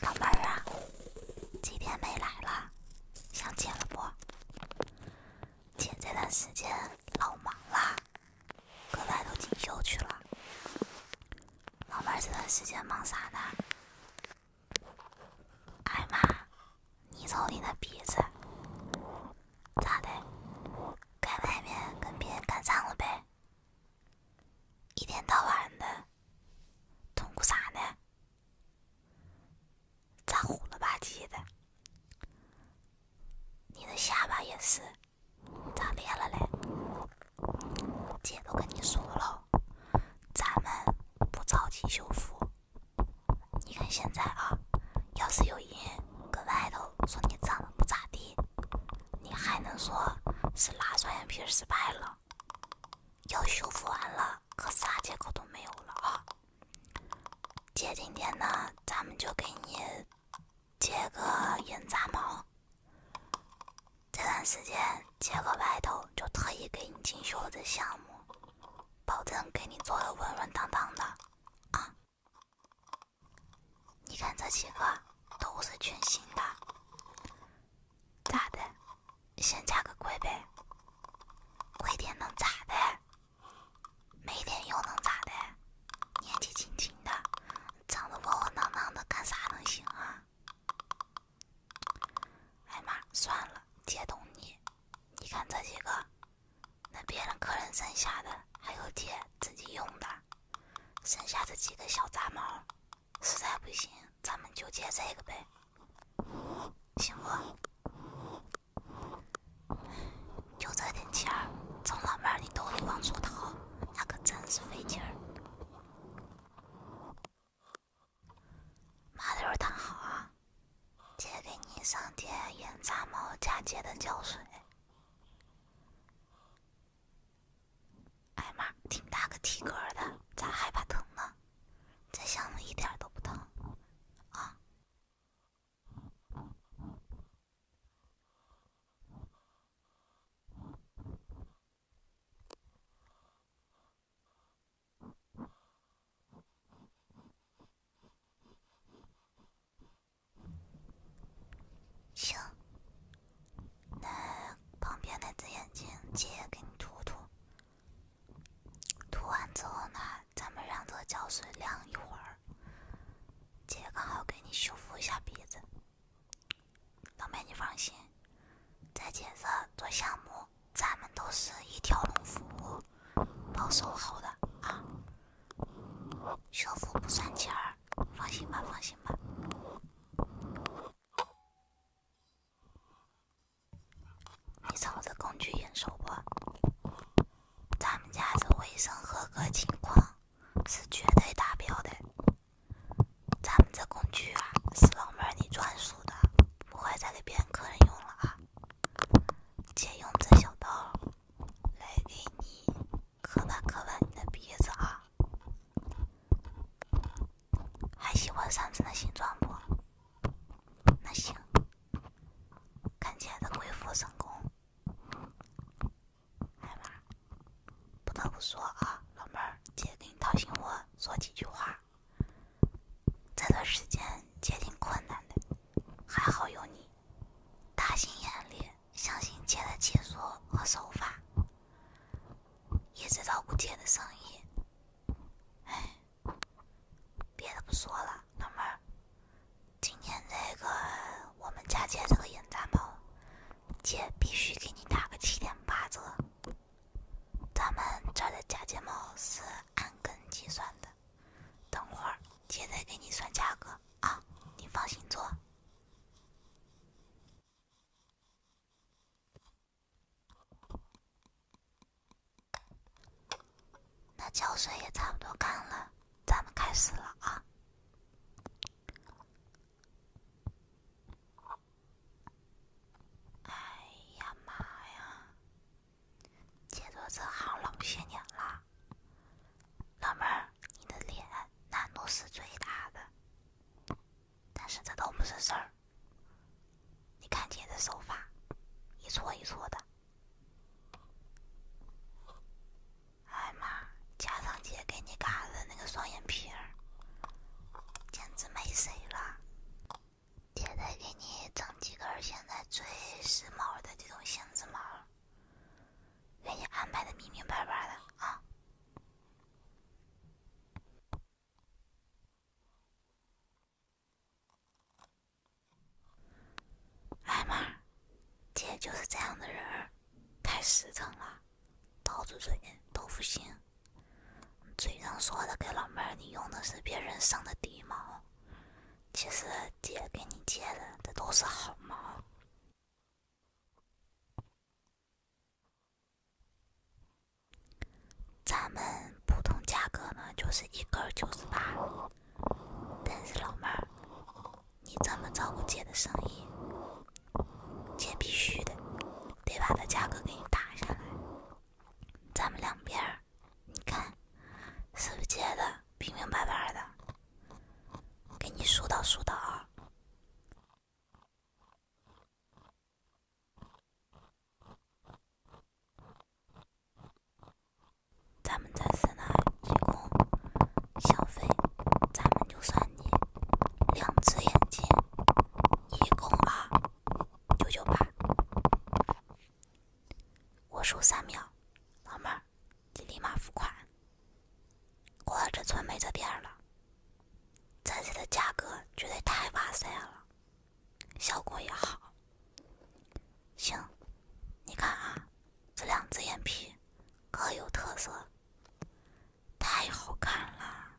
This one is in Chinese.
老妹儿啊，几天没来了，想姐了不？姐这段时间老忙了，搁外头进修去了。老妹儿这段时间忙啥呢？哎妈，你瞅你那鼻子，咋的？在外面跟别人干仗了呗？一天到晚的，痛苦啥呢？咋虎了吧唧的？你的下巴也是，咋裂了嘞？姐都跟你说了，咱们不着急修复。你看现在啊，要是有人搁外头说你长得不咋地。你还能说是拉双眼皮失败了，要修复完了，可啥借口都没有了啊！姐今天呢，咱们就给你接个眼杂毛，这段时间接个外头，就特意给你精修了这项目，保证给你做的稳稳当当的啊！你看这几个都是全新的，咋的？先加个贵呗，贵点能咋的？没点又能咋的？年纪轻轻的，长得窝窝囊囊的，干啥能行啊？哎妈，算了，姐懂你。你看这几个，那别人客人剩下的，还有姐自己用的。剩下这几个小杂毛，实在不行，咱们就借这个呗，行不？就这点钱儿，从老妹儿你兜里往出掏，那可真是费劲儿。麻溜躺好啊，姐给你上点演杂毛加接的胶水。哎妈，挺大个体格的，咋还怕疼呢？在箱子一点都不疼啊。行，那旁边那只眼睛，姐给你涂涂。涂完之后呢，咱们让这胶水晾一会儿。姐刚好给你修复一下鼻子。老妹，你放心，在姐这做项目，咱们都是一条龙服务，包售后的啊。修复不算钱儿，放心吧，放心吧。你瞅这工具验收不？咱们家这卫生合格情况是绝对达标的。咱们这工具啊，是老妹儿你专属的，不会再给别人客人用了啊。姐用这小刀。来给你刻吧刻吧你的鼻子啊！还喜欢上次那形状不？那行，看姐的恢复成功。哎妈，不得不说啊，老妹儿，姐给你掏心窝说几句话。这段时间姐挺困难的。还好有你，大心眼里相信姐的解说和手法，一直照顾姐的生意。哎，别的不说了，老妹儿，今天这个我们这个眼睫毛，姐必须给你打个七点八折。咱们这儿的假睫毛是按根计算的。等会儿，姐再给你算价格啊！你放心做。那胶水也差不多干了，咱们开始了啊！哎呀妈呀！姐做这行老些年了，老妹儿，你的脸难度是最大的，但是这都不是事儿。你看姐的手法，一搓一搓的。哎妈，加上姐给你嘎的那个双眼皮儿，简直没谁了。姐再给你整几根线。现在最时髦的这种性子毛，给你安排的明明白白的啊！哎妈，姐就是这样的人，太实诚了，刀子嘴豆腐心，嘴上说的给老妹儿，你用的是别人剩的底毛。其实姐给你接的这都是好猫。咱们普通价格呢，就是一根九十八。但是老妹儿，你这么照顾姐的生意，姐必须的，得把它价格给你打下来。咱们两边儿，你看，是不是接的，平平白白的，给你疏导疏导。咱们在森那一共消费，咱们就算你两只眼睛，一共啊九九八。我数三秒，老妹儿，你立马付款。过了这村没这店了，这次的价格绝对太哇塞了，效果也好。行，你看啊，这两只眼皮各有特色，太好看了。